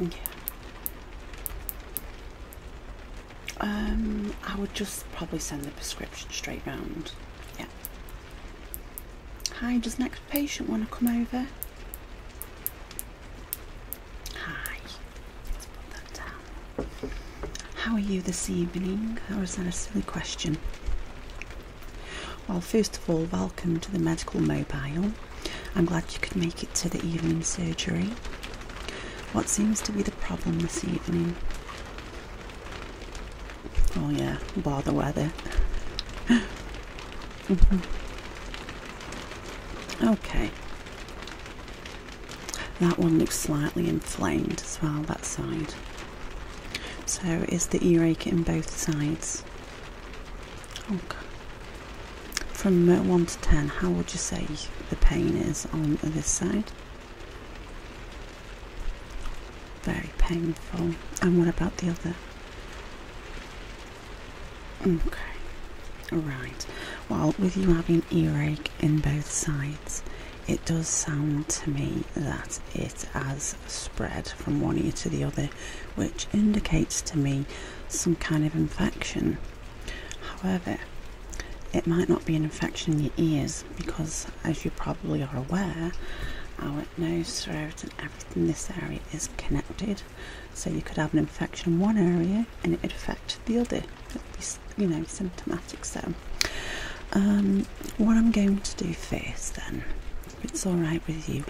Yeah. Um, I would just probably send the prescription straight round. Yeah. Hi, does next patient want to come over? Hi. Let's put that down. How are you this evening? Or is that a silly question? Well, first of all, welcome to the medical mobile. I'm glad you could make it to the evening surgery. What seems to be the problem this evening? Oh, yeah, bar the weather. Okay. That one looks slightly inflamed as well, that side. So is the earache in both sides? Okay. From 1 to 10, how would you say the pain is on this side? Very painful. And what about the other? Okay. Right. Well, with you having earache in both sides, it does sound to me that it has spread from one ear to the other, which indicates to me some kind of infection. However, it might not be an infection in your ears because, as you probably are aware, our nose, throat, and everything in this area is connected. So you could have an infection in one area and it would affect the other. It would be, you um, what I'm going to do first then, if it's alright with you,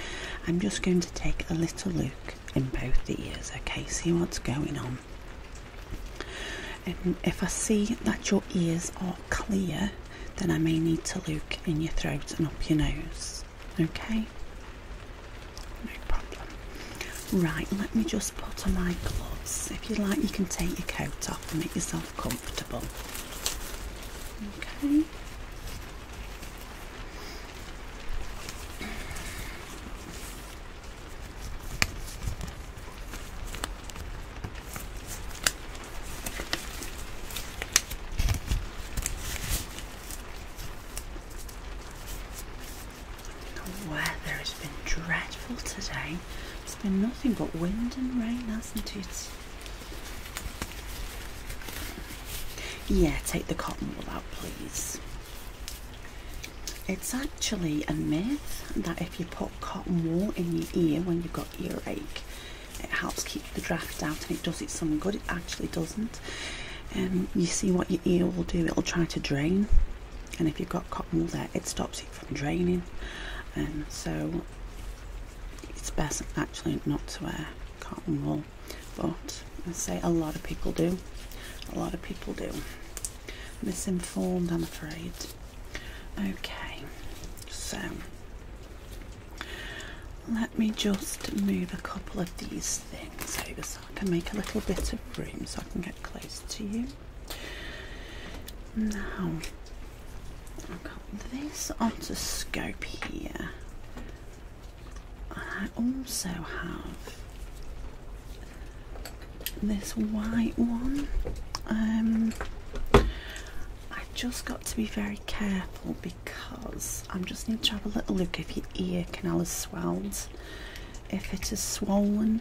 I'm just going to take a little look in both the ears, okay, see what's going on. if I see that your ears are clear, then I may need to look in your throat and up your nose, okay? No problem. Right, let me just put on my gloves. If you would like, you can take your coat off and make yourself comfortable. The weather has been dreadful today been nothing but wind and rain, hasn't it? Yeah, take the cotton wool out, please. It's actually a myth that if you put cotton wool in your ear when you've got earache, it helps keep the draft out and it does it some good. It actually doesn't. Um, you see what your ear will do, it'll try to drain and if you've got cotton wool there it stops it from draining and so it's best actually not to wear cotton wool but I say a lot of people do a lot of people do misinformed I'm afraid okay so let me just move a couple of these things over so I can make a little bit of room so I can get close to you now, I've got this otoscope here. I also have this white one. Um, I just got to be very careful because I'm just need to have a little look if your ear canal is swelled. If it is swollen,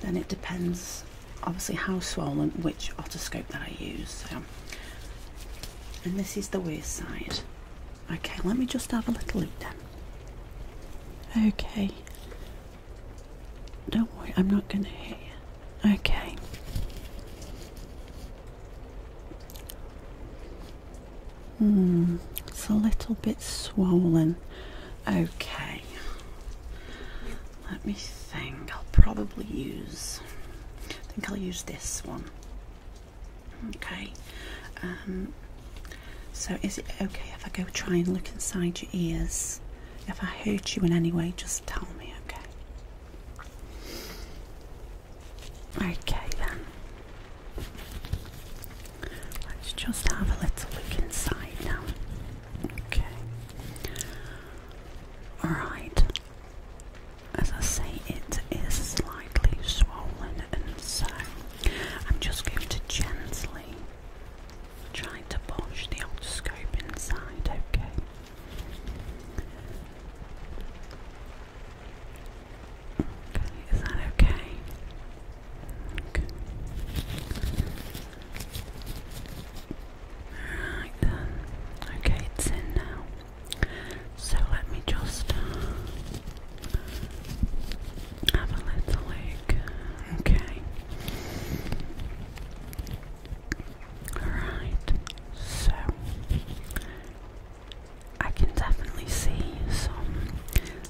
then it depends obviously how swollen, which otoscope that I use. And this is the worst side. Okay, let me just have a little look then. Okay. Don't worry, I'm not going to hurt you. Okay. Hmm, it's a little bit swollen. Okay. Let me think. I'll probably use. I think I'll use this one. Okay. Um, so is it okay if I go try and look inside your ears? If I hurt you in any way, just tell me, okay? Okay then. Let's just have a little look inside now. Okay. Alright. As I say, it is slightly swollen, and so I'm just going to gently try to push the otoscope inside, okay? Okay, is that okay? Okay. Right then. Okay, it's in now. So let me just uh, have a little look. Okay. Alright, so I can definitely see some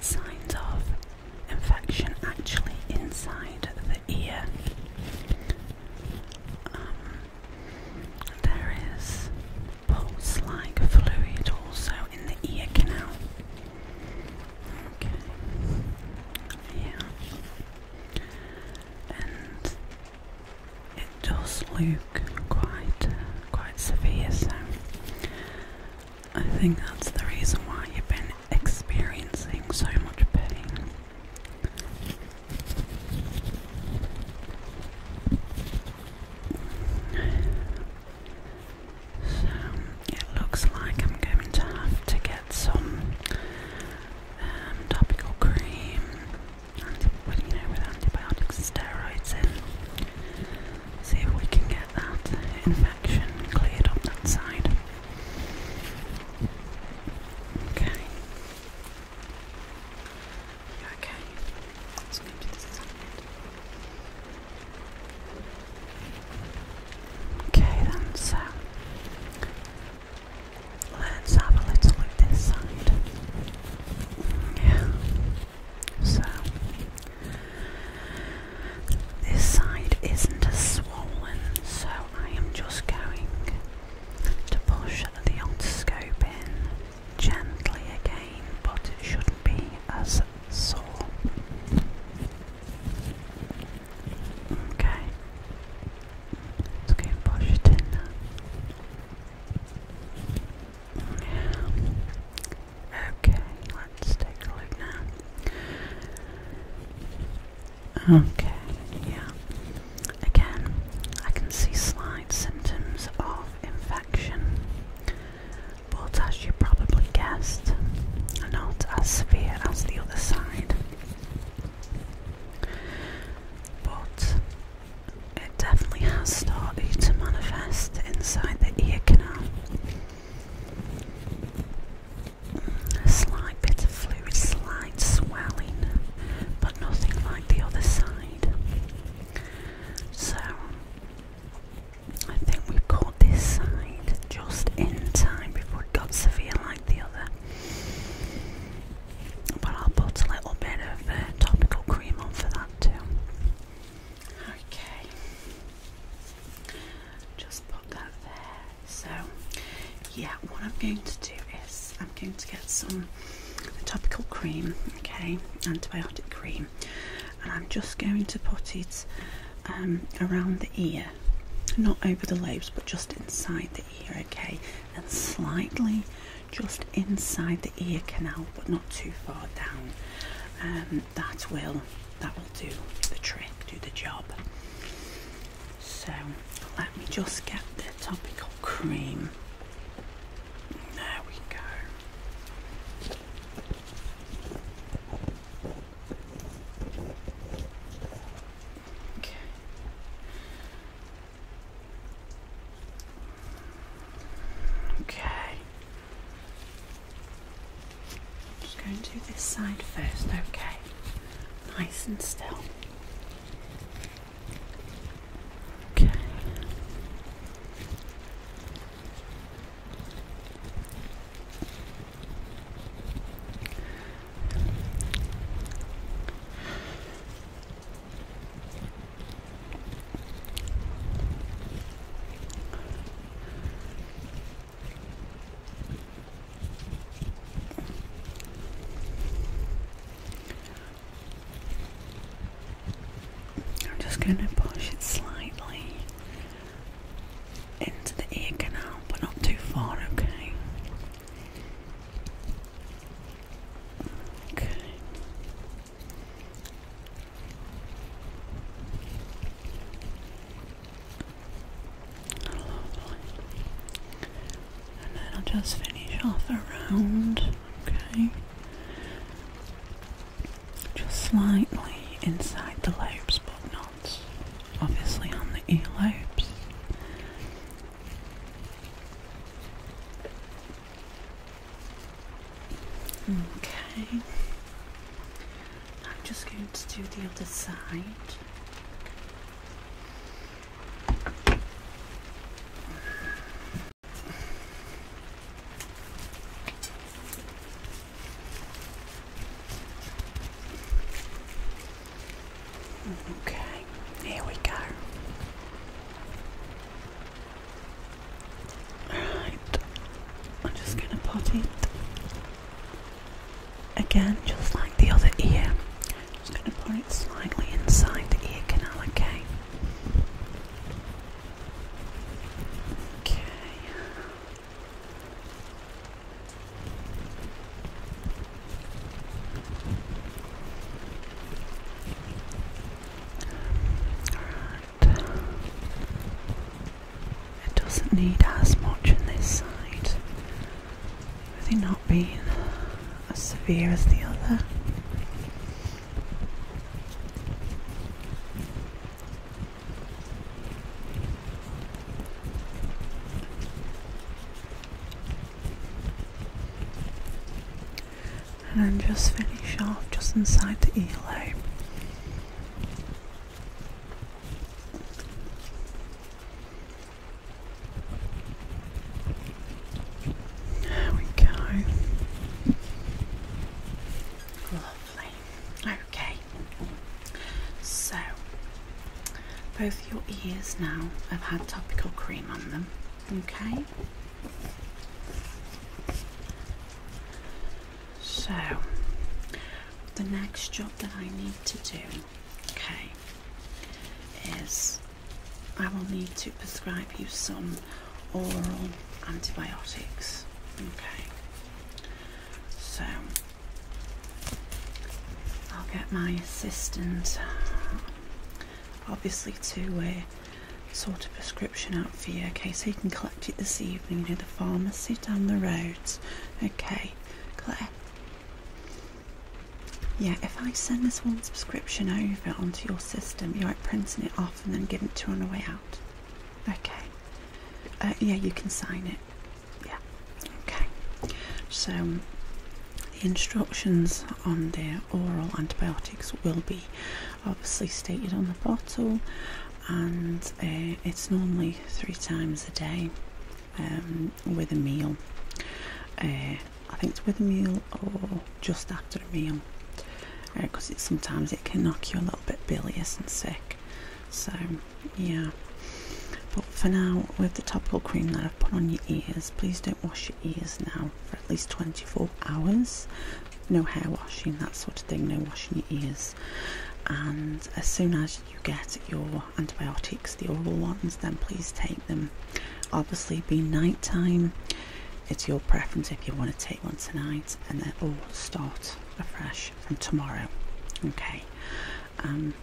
signs of infection actually inside the ear. Um, there is pulse like fluid also in the ear canal. Okay. Yeah. And it does look quite quite severe so I think that's the reason why you've been experiencing so much pain. So it looks like I'm going to have to get some um, topical cream, you know, with antibiotics and steroids in. See if we can get that infection cleared up that side. Okay. okay. Let's go to this side. Okay then, so let's have a little look this side. Yeah. So this side isn't as swollen, so I am just going to push the otoscope in gently again, but it shouldn't be as sore. Okay, let's go and in. Okay, let's take a look now. Okay, yeah. Again, I can see slight symptoms of infection, but as you probably guessed, not as severe as the other side. But it definitely has started to manifest inside the ear canal. Slight bit of fluid, slight swelling, but nothing like the other side. So I think we caught this side just in time before it got severe like the other. But I'll put a little bit of uh, topical cream on for that too. Okay. Just put that there. So, yeah, what I'm going to do is I'm going to get some topical cream, okay, antibiotic cream, and I'm just going to put it um, around the ear, not over the lobes, but just inside the ear, okay, and slightly just inside the ear canal, but not too far down. Um, that will that will do the trick, do the job. So let me just get the topical cream. There we go. Okay. Okay. Just go to do this side first, okay? Nice and still. Okay. I'm just going to push it slightly into the ear canal, but not too far, okay? Okay. And then I'll just finish off around, okay? Just slightly inside the lobes, but not obviously on the ear lobes, Okay. I'm just going to do the other side. Okay, here we go. Right, I'm just going to put it Again, just like the other ear, just going to put it slightly inside the ear canal, okay? Okay. It doesn't need as much in this side, with it not been as severe as the other. And just finish off just inside the earlobe. There we go. Lovely. Okay. So, both your ears now have had topical cream on them. Okay. So, the next job that I need to do, okay, is I will need to prescribe you some oral antibiotics, okay. So, I'll get my assistant obviously to uh, sort a prescription out for you, okay, so you can collect this evening near the pharmacy down the road. Okay, Claire. Yeah, if I send this one prescription over onto your system, you're like printing it off and then giving it to on the way out. Okay. Uh, yeah, you can sign it. Yeah. Okay. So um, the instructions on the oral antibiotics will be obviously stated on the bottle and uh, it's normally three times a day um, with a meal. Uh, I think it's with a meal or just after a meal because uh, sometimes it can knock you a little bit bilious and sick. So, yeah. But for now, with the topical cream that I've put on your ears, please don't wash your ears now for at least 24 hours. No hair washing, that sort of thing, no washing your ears. And as soon as you get your antibiotics, the oral ones, then please take them. Obviously, be night time, it's your preference if you want to take one tonight and then all oh, start afresh from tomorrow. Okay. Um,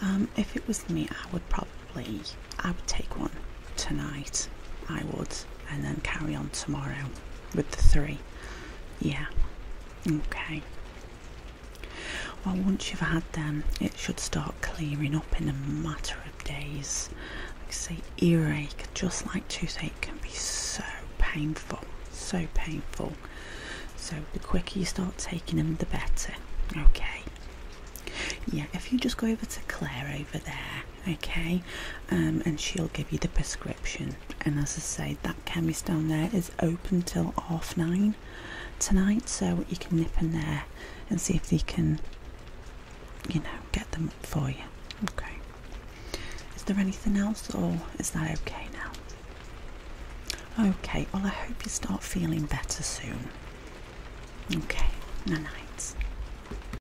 um, if it was me, I would probably I would take one tonight, I would, and then carry on tomorrow with the three. Yeah, okay. Well, once you've had them, it should start clearing up in a matter of days. Like I say, earache, just like toothache, can be so painful, so painful. So the quicker you start taking them, the better. Okay. Yeah, if you just go over to Claire over there okay um, and she'll give you the prescription and as i say that chemist down there is open till half nine tonight so you can nip in there and see if they can you know get them for you okay is there anything else or is that okay now okay well i hope you start feeling better soon okay Good night